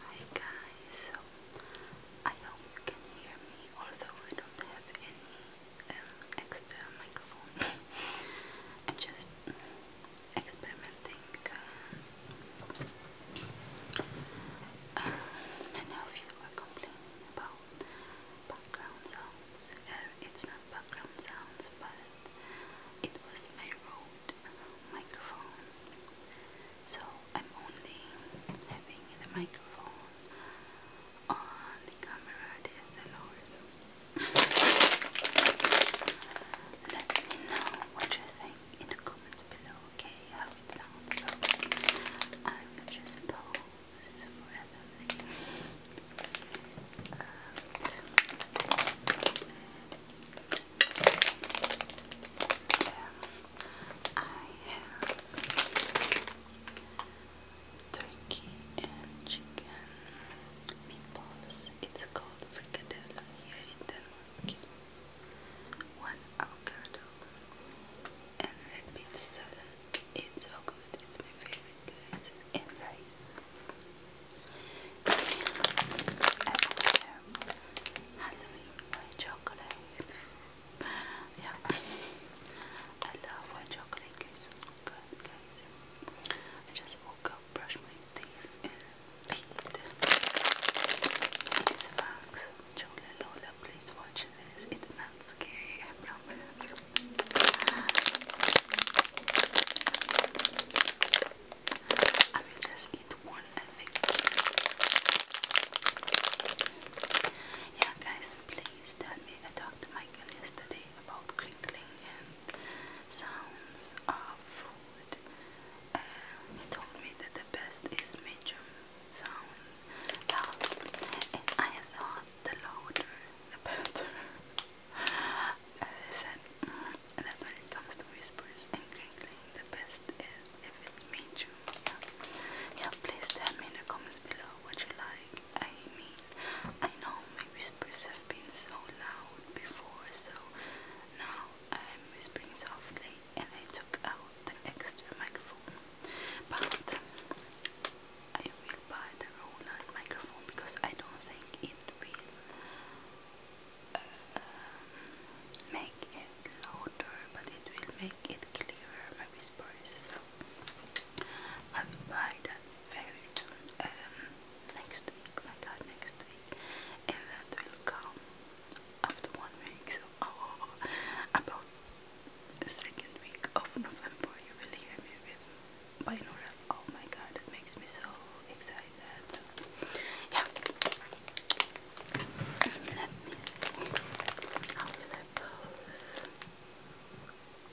Hi guys, so I hope you can hear me, although I don't have any um, extra microphone. I'm just experimenting because um, many of you are complaining about background sounds. Uh, it's not background sounds, but it was my road microphone. So I'm only having the microphone on the camera DSLR. So let me know what you think in the comments below, okay? How sounds. So I will just pose then I turkey and chicken meatballs. It's called fricadella here in Denmark. One avocado and red beet salad. It's so good. It's my favorite, And rice. Halloween white chocolate. yeah, I love white chocolate cookies. Good I just woke up, brushed my teeth, and peed. It's facts. Chola please watch this. It's not scary. I promise. just eighth one, Yeah, guys, please tell me. I talked to Michael yesterday about crinkling and sounds of food. Uh, he told me that the best is medium sound um, and I thought the louder the better. said mm, that when it comes to whispers and crinkling, the best is if it's meet you. yeah, please tell me in the comments below what you like. I mean, I know my whispers have been so loud before, so now I'm whispering softly and I took out the extra microphone. But I will buy the Roland microphone because I don't think it will make it louder, but it will make it clearer, my whispers. I buy that very soon, um, next week, my god, next week. And that will come after one week, so oh, about the second week of November, you will hear me with binaural. Oh my god, it makes me so excited like that. Yeah. Let me see. I pose?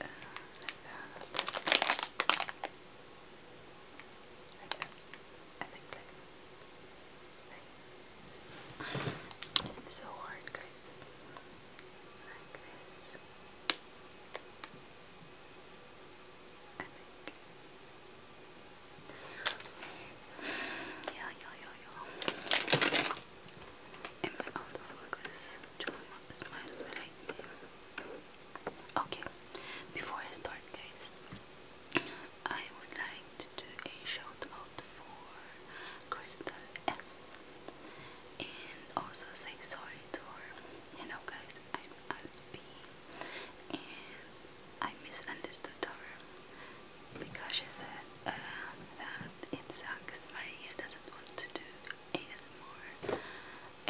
Uh, that. Like I think like, like it's so hard guys. Like I think. Yeah, yeah, yeah, yeah. Am I out focus? Do I want this miles Okay, before I start, guys, I would like to do a shout out for Crystal S and also say sorry to You know, guys, I'm SB I misunderstood her because she said uh, that it sucks. Maria doesn't want to do ASMR,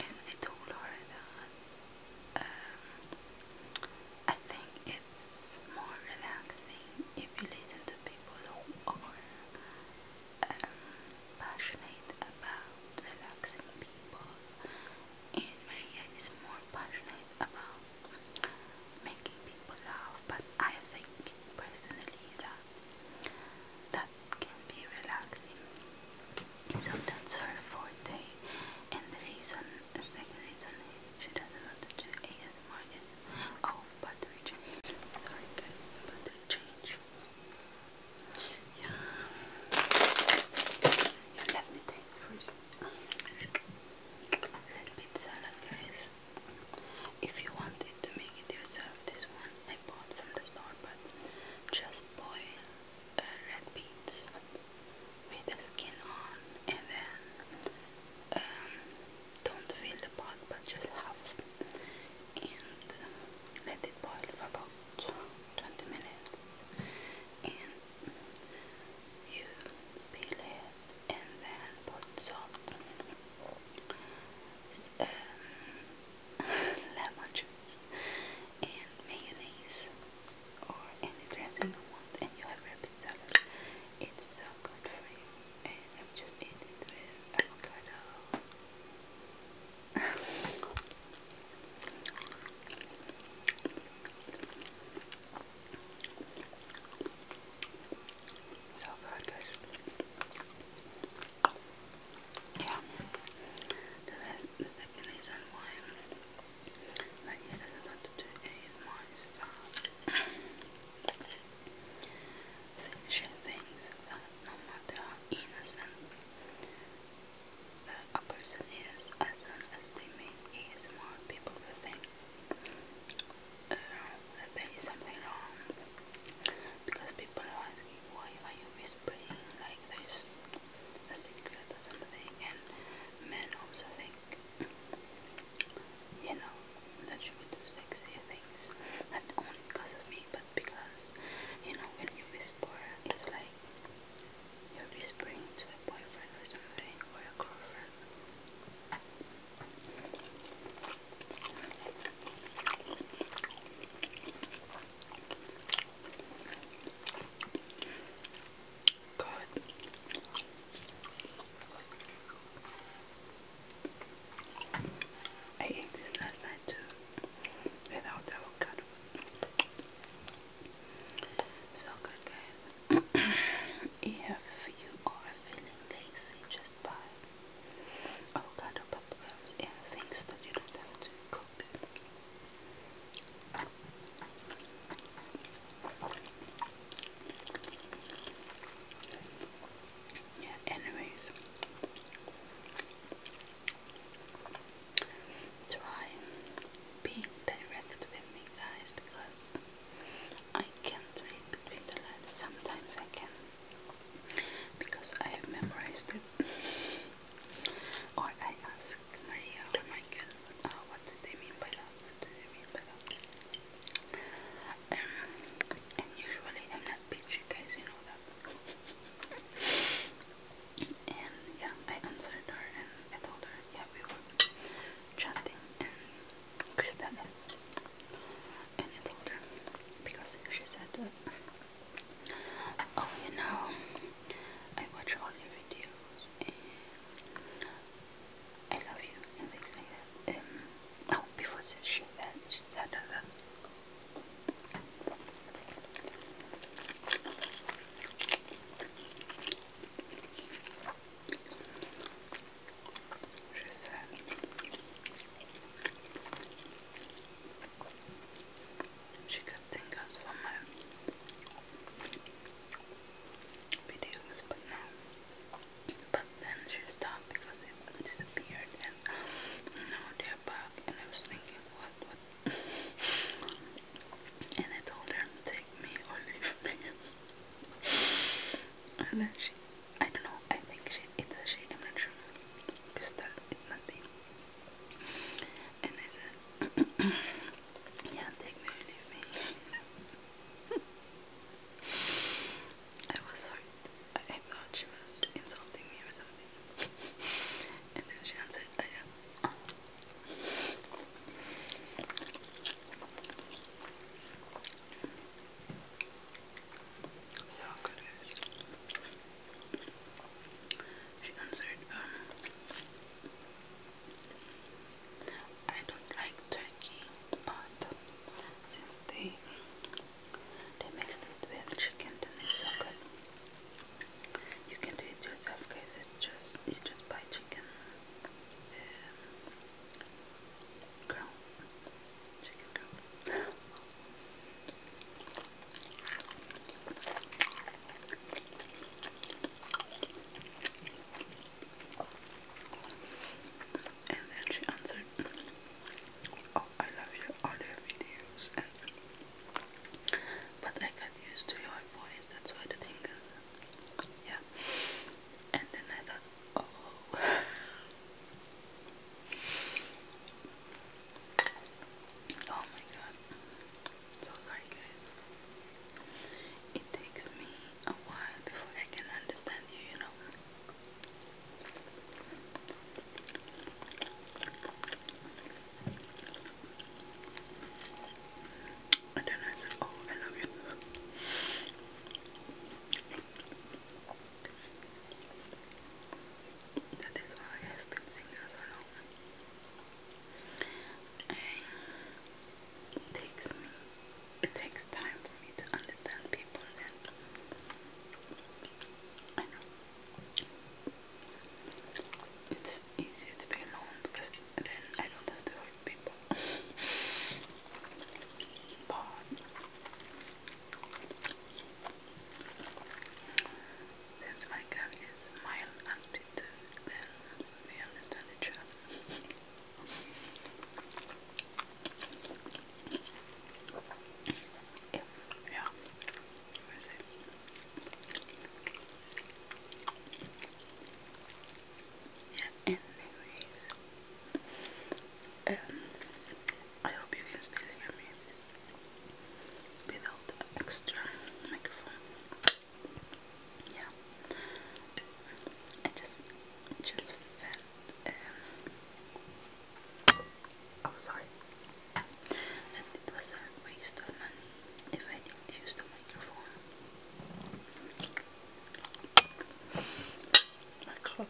and I told her that um, I think it's more relaxing if you listen to people who are um, passionate about relaxing people and Maria is more passionate about making people laugh, but I think personally that that can be relaxing. So that's her forte, and the reason, the second reason she doesn't want to do ASMR is oh, battery change. Sorry guys, battery change. Yeah. yeah let me taste first red beet salad guys if you wanted to make it yourself this one I bought from the store but just boil uh, red beets with the skin on and then um, don't fill the pot but just half and let it boil for about 20 minutes you peel it and then put salt, um, lemon juice, and mayonnaise, or any dressing you want, and you have rabbit salad. It's so good for you, and I'm just eating with avocado. So good, guys. Yeah. The, second reason why my hair doesn't want to do ASMR is uh, things that no matter innocent a person is, as soon as they make people think uh, there is something wrong because people are asking why are you whispering like there's a secret or something and men also think you know that you do sexy things not only because of me but because you know when you whisper it's like you'll be whispering to a boyfriend or something, or a girlfriend. God. I ate this last night too, without avocado. So good, guys. if you are feeling lazy, just buy avocado pop rubs and things that you don't have to cook. Yeah, anyways try be direct with me guys because I can't read between the lines. Sometimes I can because I have memorized it. or I ask Maria or oh Michael uh, what do they mean by that? What do they mean by that? Um, and usually I'm not bitchy guys, you know that. and yeah, I answered her and I told her, yeah, we were chatting and Krista And I told her, because she said, oh, you know, I watch all your videos and I love you and things like that. Um, oh, before she said, she that. Uh, Je sais. She could think for my videos, but no. But then she stopped because it disappeared, and now they're back. And I was thinking, What and I told her, take me or leave me. and then she, I don't know, I think she, it's she, I'm not sure. Crystal, it must be. And I said, yeah, take me or leave me. I was hurt. I thought she was insulting me or something. and then she answered, I am so good she answered, um, I don't like turkey, but since they they mixed it with chicken, it's so good. You can do it yourself, cause It's just you just buy chicken um, ground, chicken And then she answered, "Oh, I love your other videos, but I got used to your voice. That's why the thing is yeah. And then I thought, oh. oh. my god. So sorry, guys. It takes me a while before I can understand you, you know. And then I said, oh, I love you. That is why I have been single so long. it takes it takes time for me to understand people. And I know it's easier to be alone because then I don't have to hurt people. but since my cat is mild and then we understand each other. yeah, yeah. it? yeah, anyways, um, I hope you can still hear me without the extra microphone. Yeah, I just, just felt. Um, oh, sorry. And it was a waste of money if I didn't use the microphone. My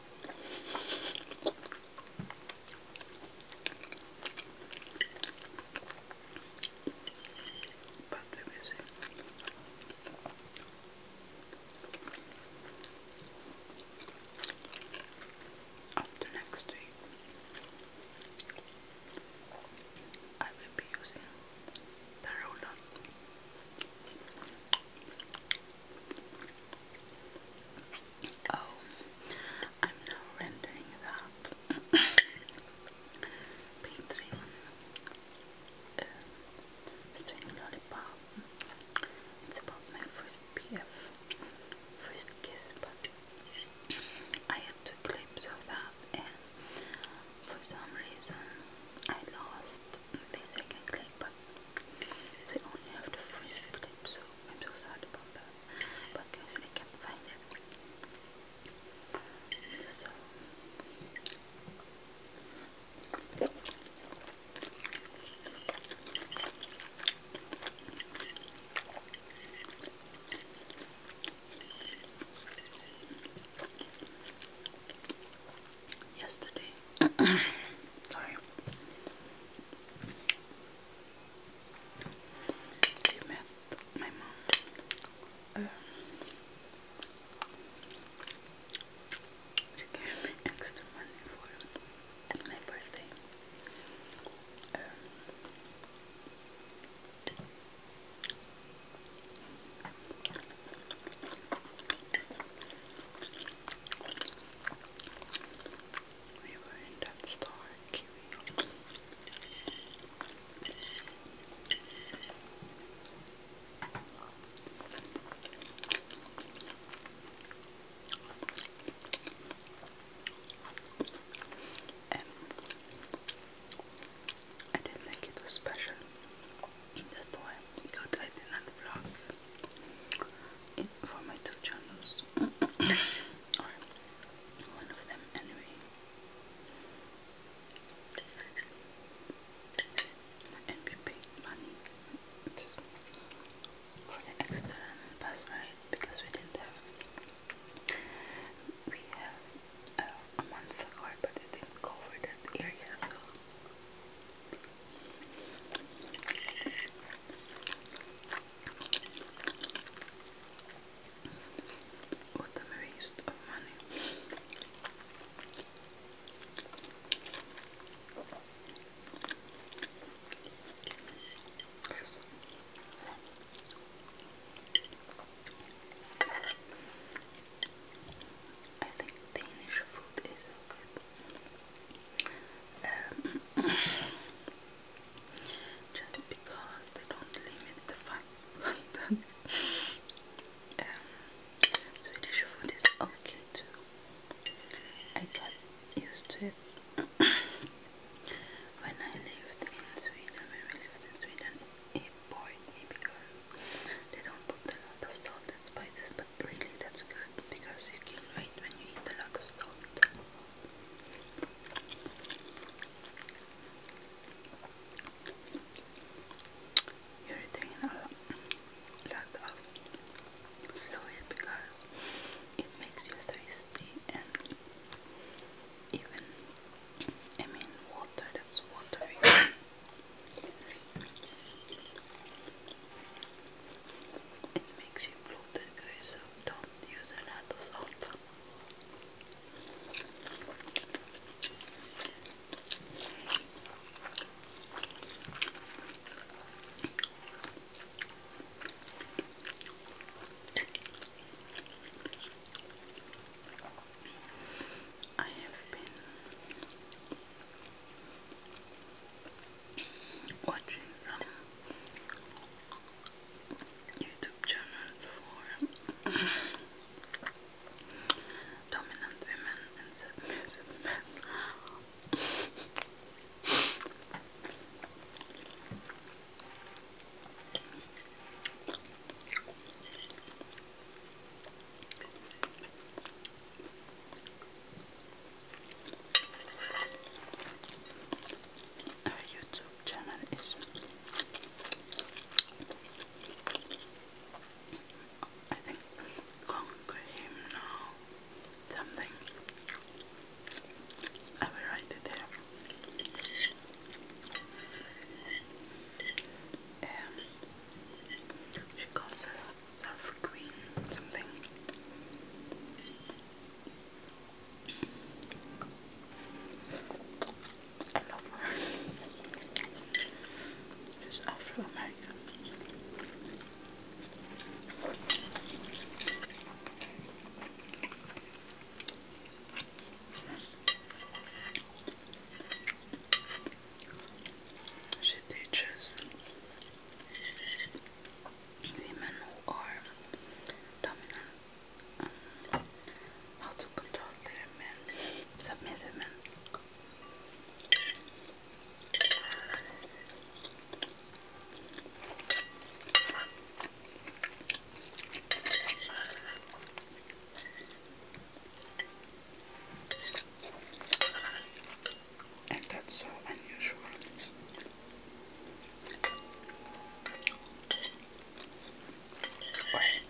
But we see. After next week. I will be using the roller. Oh, I'm now rendering that picturing um, string lollipop. It's about my first PF, first kiss, but I had two clips of that, and for some reason I lost the second clip. but I only have the first clip, so I'm so sad about that. But guys, I can't find it. So yesterday. Sorry. my mom. Uh. she gave me extra money for my birthday. Um, we were in that store, Kiwi. And I didn't think it was special. That's why God, I did not vlog for my two channels. one of them anyway. And we paid money for the external bus ride because we didn't have we have a month ago, but it didn't cover that area. What a waste of money. Yes. I think Danish food is good. Um, just because they don't limit the fun content. Um, Swedish food is okay too. I got used to it. when I lived in Sweden, when we lived in Sweden, important because they don't put a lot of salt and spices, but really that's good because you gain weight when you eat a lot of salt. You retain a lot of fluid because it makes you thirsty and even I mean water that's watering. it makes you bloated guys, so don't use a lot of salt. I have been watching some YouTube channels for dominant women and submissive men. Our YouTube channel is I think conquer him now something I will write it there um, she calls herself Queen something. I love her. She's Afro American. She teaches women who are dominant um, how to control their men, submissive men. And that's so unusual. Wait.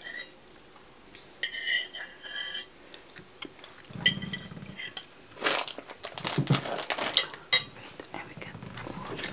and we get water.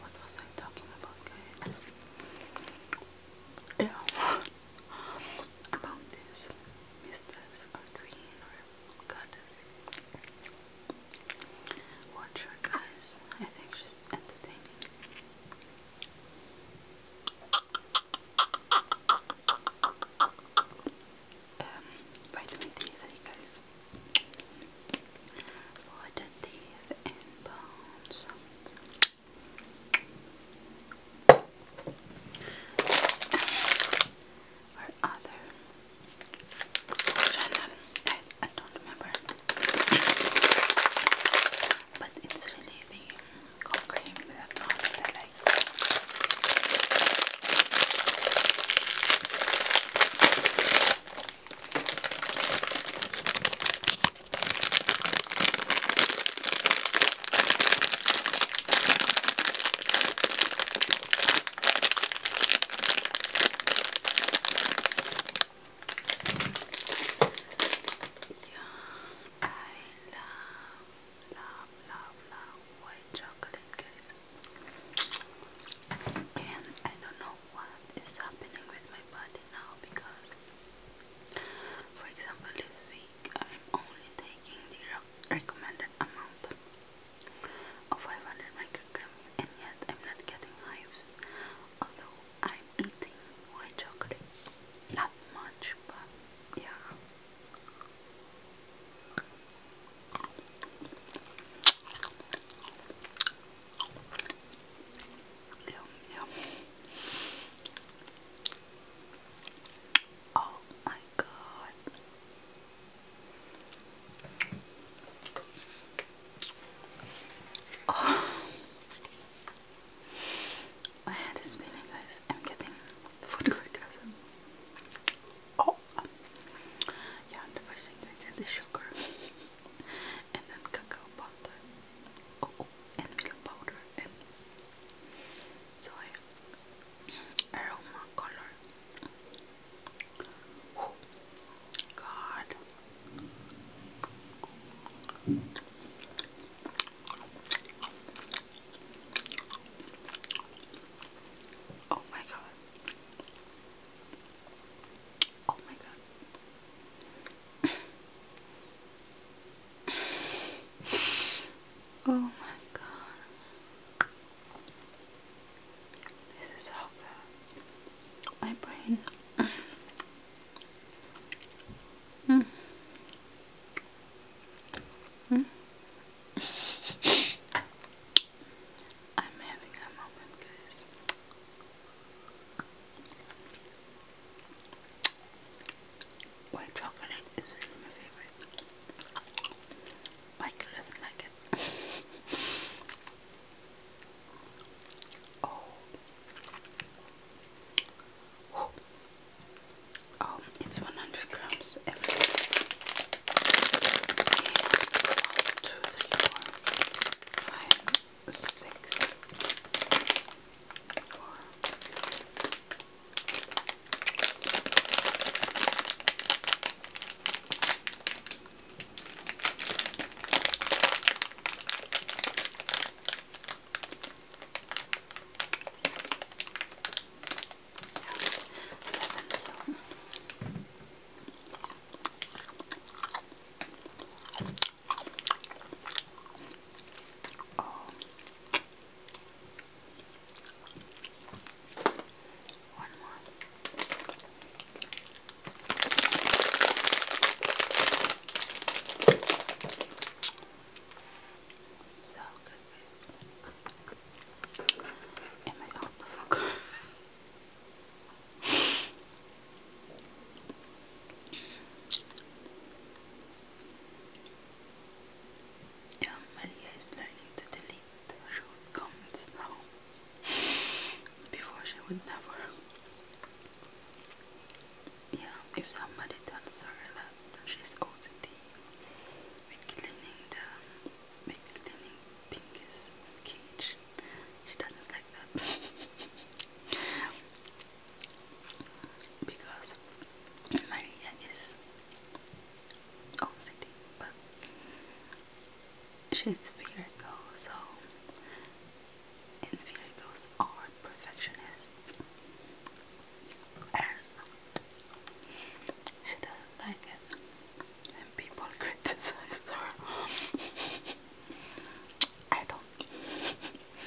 What was I talking about, guys? Yeah, about this mistress or or goddess. Watch her, guys. I think she's entertaining. Um, vitamin D3, guys. For the teeth and bones. other channel, I, don't remember. But it's really the cold yeah, I love, love, love, love white chocolate, guys. And I don't know what is happening with my body now because, for example, this week I'm only taking the recommended amount of 500 micrograms, and yet I'm not getting hives, although I'm eating white chocolate. Not much, but yeah. Oh my god. Oh. My head is spinning, guys. I'm getting food orgasm. Oh, yeah, the first ingredient is sugar and then cacao butter, oh, oh, and milk powder, and soy aroma color. Oh, oh my god. Oh my god. oh my god. This is so good. My brain. mm. Mm. I'm having a moment, guys. White chocolate is really my favorite. Michael doesn't like it. oh. oh. Um, it's 100 grams every day. One, two, three, four, five, six, four, seven, so. Um, one more. So good, guys. Am I off the hook? Yeah, Maria is learning to delete comments now. Before she would never. Yeah, if somebody tells her that she's OCD with cleaning the with cleaning Pinky's cage, she doesn't like that because Maria is OCD, but she's Virgo, so and Virgos are perfectionists, and she doesn't like it when people criticize her. I don't.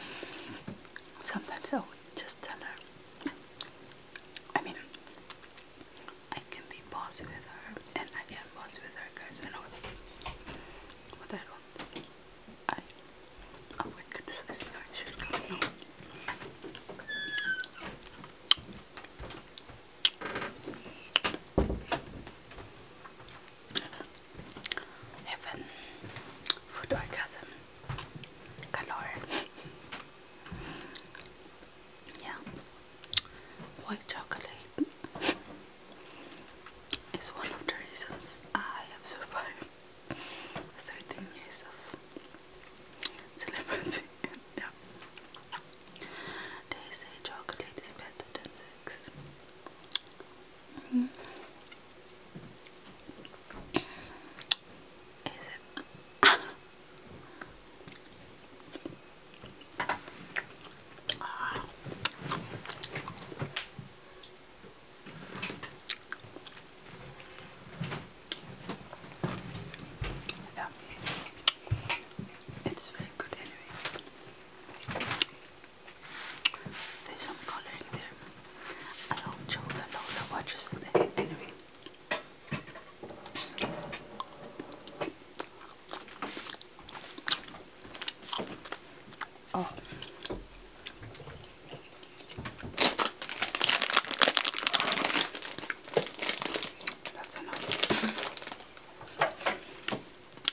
Sometimes I would just tell her. I mean, I can be boss with her, and I am boss with her, guys. I know that. But I don't. I, I would criticize her. She's coming home have food orgasm color. yeah, white chocolate is one of the reasons I have survived 13 years of celibacy. yeah. They say chocolate is better than sex relax. Mm. Is it? ah. Yeah, it's very good anyway. There's some coloring there. I hope Joe and Lola watches it anyway. Oh. That's enough.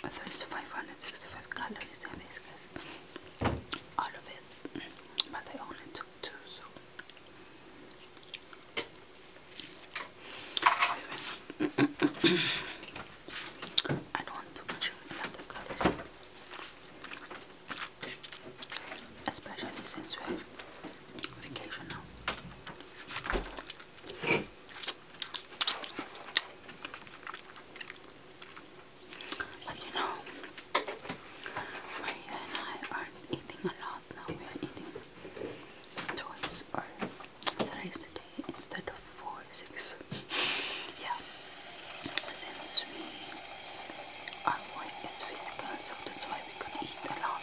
I there is 565 calories in this case, all of it, but they only took two, so I don't want to consume a lot of especially since we have vacation now. Like you know, Maria and I are eating a lot now. We are eating twice or thrice a day instead of four, six. yeah, since we our work is physical, so that's why we could eat a lot.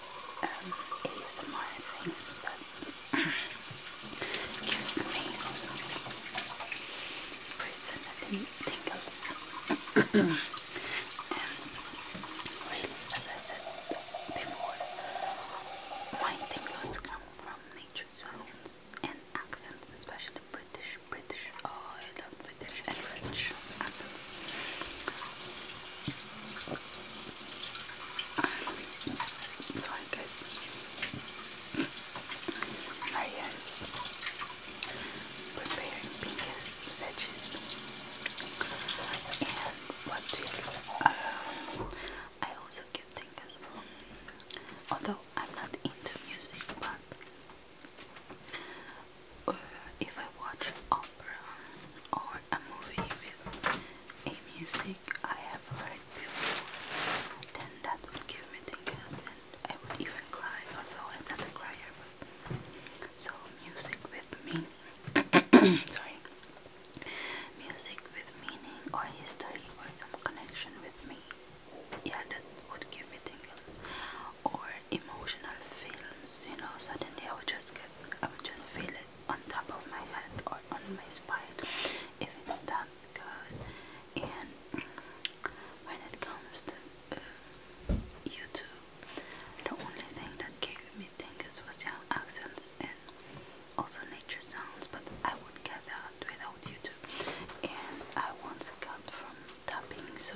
um, ASMR things that give me personally tingles. and really, as I said before, my tingles come from nature sounds and accents, especially British. British, oh, I love British accents. That's why it there he Preparing pinkish veggies. And what do you um, I also get tingles from although I'm not into music but uh, if I watch opera or a movie with a music I have heard before, then that would give me tingles I would even cry, although I'm not a crier. so music with meaning, sorry, music with meaning or history or some connection with me, yeah, that would give me tingles. Or emotional films, you know, suddenly I would just get, I would just feel it on top of my head or on my spine if it's that good. And when it comes to uh, YouTube, the only thing that gave me tingles was young accents and also nature sounds, but I would not get that without YouTube. And I once got from tapping, so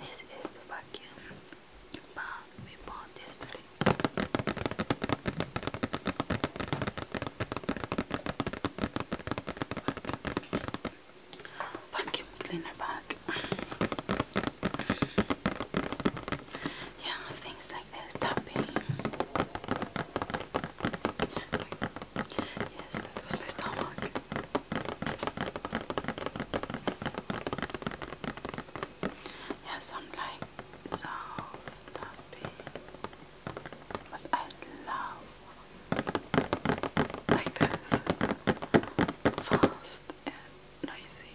this is the vacuum but we bought yesterday. Vacuum cleaner bag. Yeah, things like this tapping. Yes, that was my stomach. Yeah, some like soft tapping. But I love like this. Fast and noisy.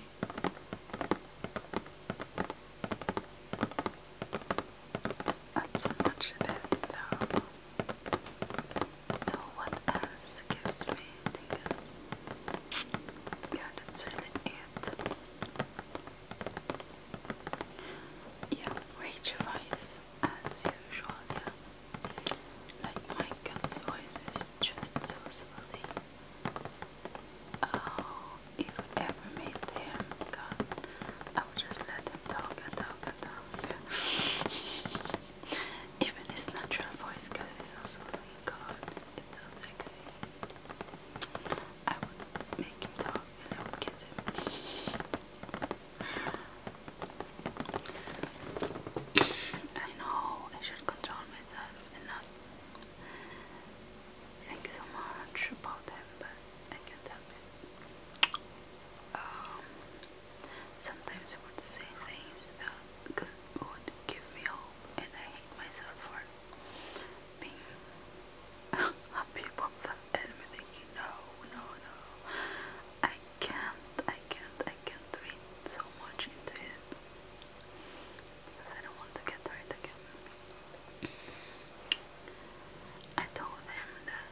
Not so much this though. So what else else gives me tingles. Yeah, that's really it. Yeah, rage voice as usual, yeah. Like Michael's voice is just so silly. Oh, if I ever meet him, God, I would just let him talk and talk and talk. Even his natural voice, because he's also like God. It's so sexy. make him talk and I kiss him. I know I should control myself and not think so much about him, but I can't help it. sometimes I would say things that could, would give me hope, and I thank myself for being happy about and i thinking no no no I can't I can't I can't read so much into it because I don't want to get hurt again I told them that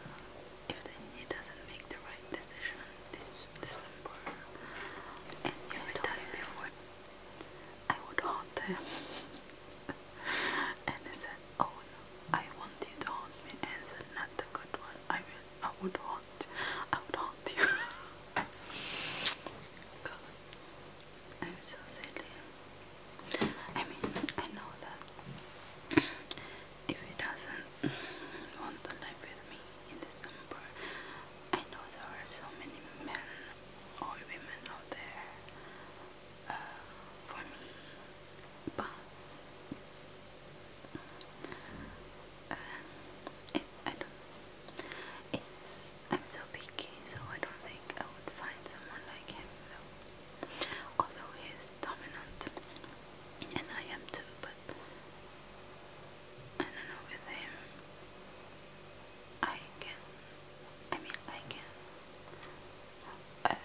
if he doesn't make the right decision this December and you retire before I would haunt him. and he said, Oh no, I want you to haunt me. And I Not the good one. I will I would haunt I would haunt you. God. I'm so silly. I mean I know that if he doesn't want to live with me in the summer. I know there are so many men or women out there uh, for me, but uh, I don't. It's I'm so picky, so I don't think I would find someone like him though. Although he dominant, and I am too, but I don't know with him. I can, I mean, I can um,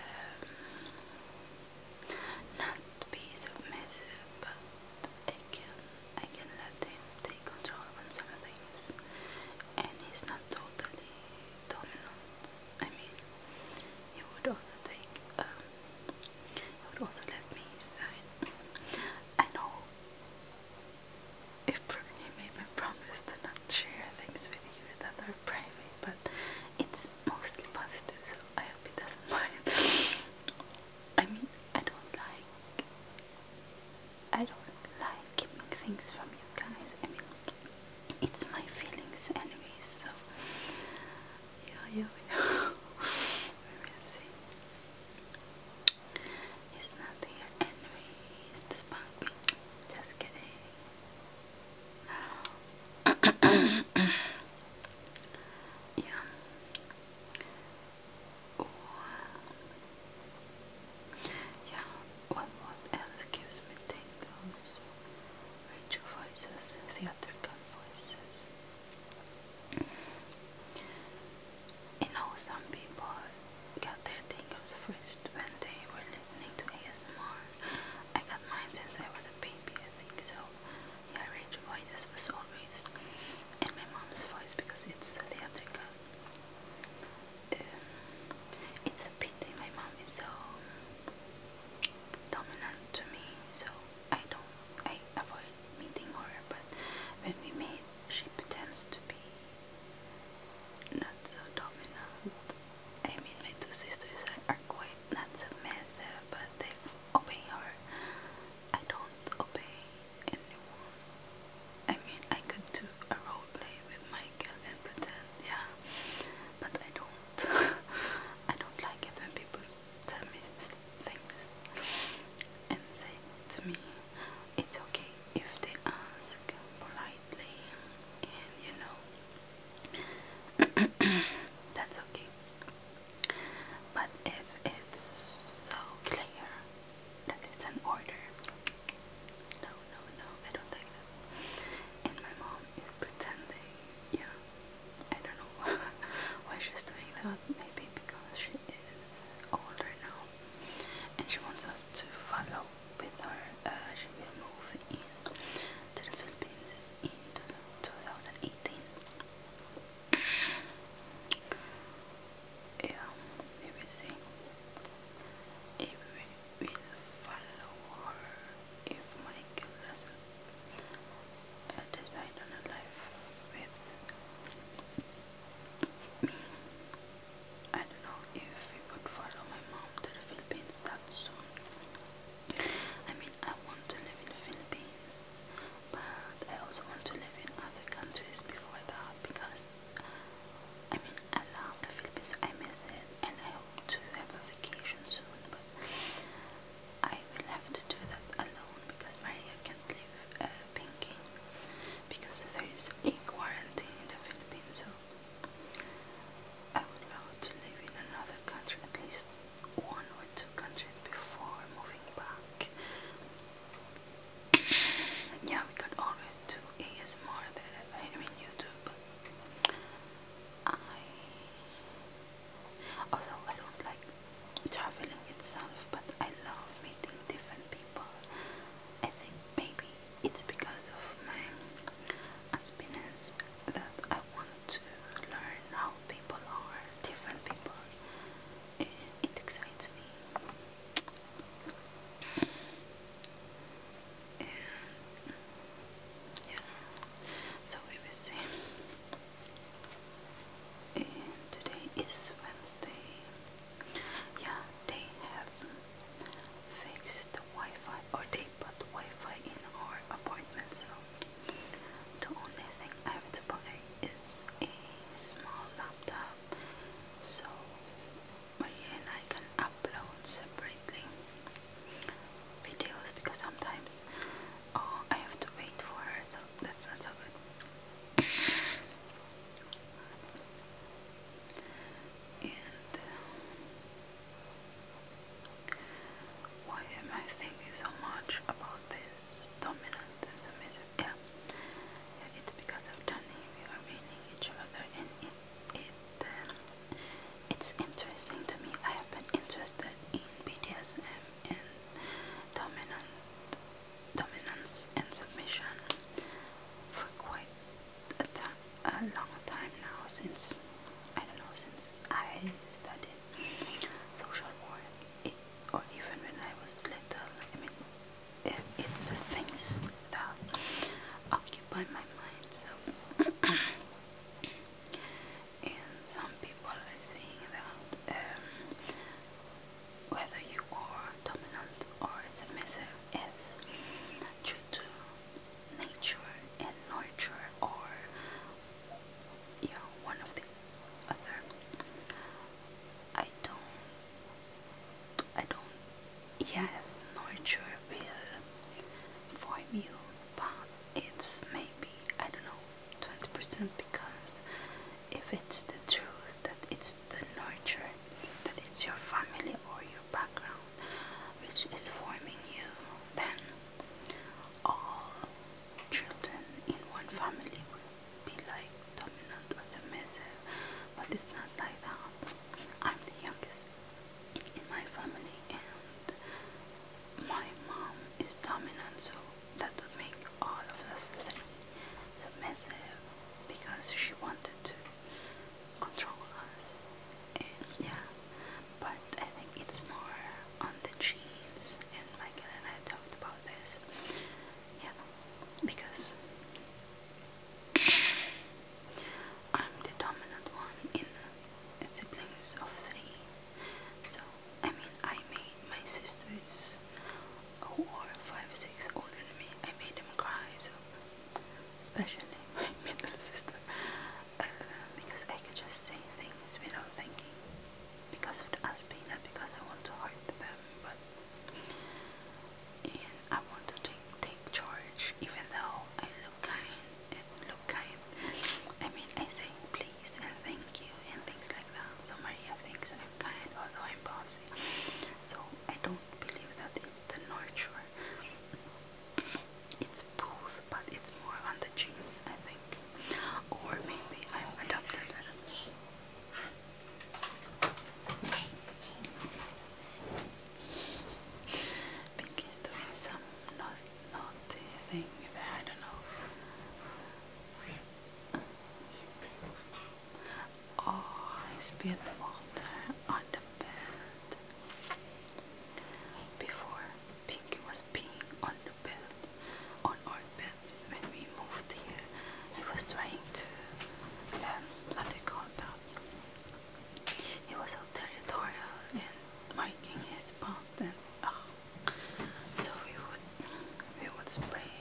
not be submissive, but I can, I can let him take control on some things, and he's not totally dominant. I mean, he would also take, he um, would also let me decide. I know he made me promise to not share things with you that are private, but it's mostly positive, so I hope he doesn't mind. I mean, I don't like, I don't like keeping things from you guys. I mean, it's my feelings, anyways. So yeah, yeah, yeah. we will see. He's not anyways. The spunk Just kidding. yeah. Oh. Yeah. What what else gives me tingles? Rachel voices, theatrical voices. You know, some people got their tingles first when they were listening to ASMR. I got mine since I was a baby, I think. So, yeah, Rachel voices was always in my mom's voice because it's the other Um, it's a pity my mom is so dominant to me, so I don't, I avoid meeting her. But when we meet, she pretends to be not so dominant. I mean, my two sisters are quite not so massive, but they obey her. I don't obey anyone. I mean, I could do a role play with my Michael and pretend, yeah, but I don't. I don't like it when people tell me things and say to me it's okay if they ask politely, and you know, that's okay. But if it's so clear that it's an order, no, no, no, I don't like And my mom is pretending, yeah, I don't know why she's doing that, maybe because she is older now, and she wants us to follow with her. Uh, she will move in to the Philippines in 2018. Yeah, we if we will follow her if Michael doesn't uh, decide life with I don't know if we would follow my mom to the Philippines that soon. I mean, I want to live in the Philippines, but I also want to live in other countries before that because I mean, I love the Philippines, I miss it, and I hope to have a vacation soon, but I will have to do that alone because Maria live uh, pinking because there is a quarantine in the Philippines. So I would love to live in another country, at least one or two countries before moving back. yeah, we could always do ASMR there. I mean YouTube. I although I don't like traveling itself, but I love meeting different people. I think maybe it's because of my aspirance that I want to learn how people are, different people. it excites me. And yeah, so we will see. And today is Wednesday. Yeah, they have fixed the Wi-Fi, or they put Wi-Fi in our apartment, so the only thing I have to buy is a small laptop, so Maria and I can upload separately videos because sometimes oh, I have to wait for her, so that's not so good. And why am I thinking so much about this dominant and submissive? Yeah, it's because of Danny. We are meeting each other, and it, it uh, it's interesting to me. I have been interested in BDSM and dominant dominance and submission for quite a, long time now since I don't know since I studied social work or even when I was little I mean it, it's things that occupy my mind so and some people are saying that um, whether you are dominant or submissive is due to nature and nurture or yeah one of the other I don't I don't yes nurture will form you but it's maybe I don't know 20% because if it's the truth, that it's the nurture, that it's your family or your background which is forming you, then all children in one family will be like dominant or submissive. But it's not like that. I'm the youngest in my family and my mom is dominant so that would make all of us submissive because she wanted to control us. yeah, but I think it's more on the genes, and Michael and I talked about this. Yeah, because I'm the dominant one in siblings of three. So, I mean, I made my sisters who are five, six older than I made them cry, so especially my middle sister, uh, because I could just say things without thinking, because of the aspect, not because I want to hurt them, but and I want to take take charge, even though I look kind and look kind. I mean, I say please and thank you and things like. So many things I'm kind, although I'm bossy. So I don't believe that it's the nurture. It's both, but it's more on the genes, I think. Or maybe I'm adopted. I do some not naughty thing that I don't know. I spilled water on the bed. Before, Pinky was peeing on the bed, on our beds when we moved here. He was trying to, um, what do you call that? He was so territorial and marking his spot and, uh, so we would, we would spray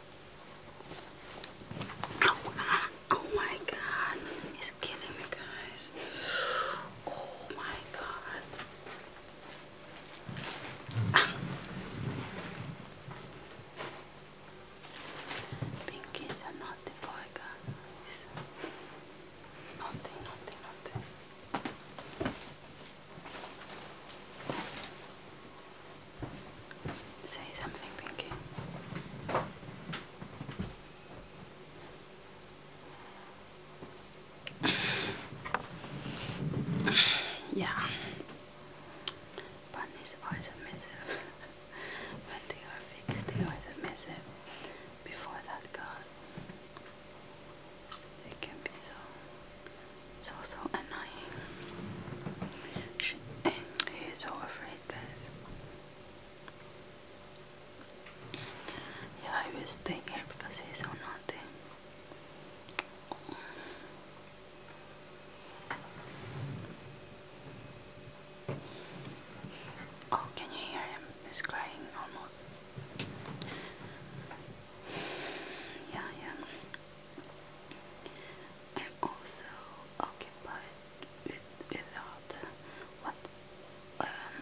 Oh, oh my god, it's killing me, guys. Oh my god. Ah. Pinkies are not the boy, guys. Nothing, nothing, nothing. Say something, Pinky. yeah. Bunnies are submissive. when they are fixed, they are submissive. Before that, God. It can be so, so, so annoying. He's so afraid, guys. Yeah, I was stay here because he's so naughty. Oh, can you hear him? He's crying almost. Yeah, yeah. I'm also occupied with without what um,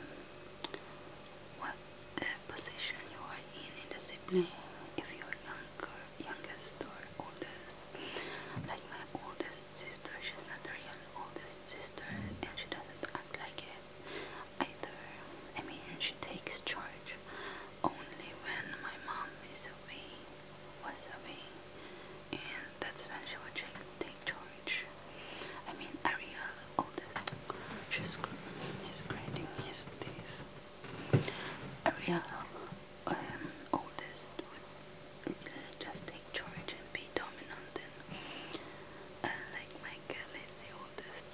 what uh, position you are in in the sibling if you're younger youngest or oldest like my oldest sister she's not the real oldest sister and she doesn't act like it either I mean she takes charge only when my mom is away wasabi, and that's when she would take, take charge. I mean, Aria, oldest, she's he's grinding his teeth. Aria, um, oldest, would just take charge and be dominant, like my is the oldest.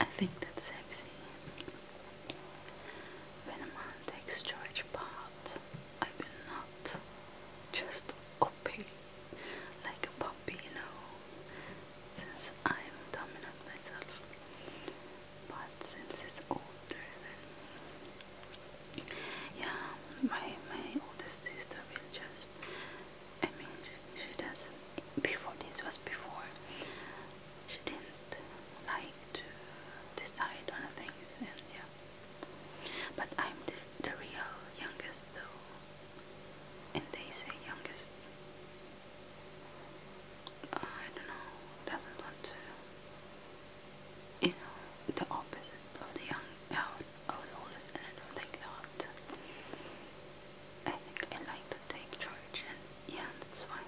I think that's sexy. When a man takes George part, I will not just obey like a puppy, you since I'm dominant myself. But since it's older than me, yeah, my my oldest sister will just. I mean, she doesn't. Before this was before she didn't like to decide on things and yeah but I'm the, real youngest so and they say youngest I don't know doesn't want to you know the opposite of the young out of oldest and I don't like that I think I like to take charge and yeah that's why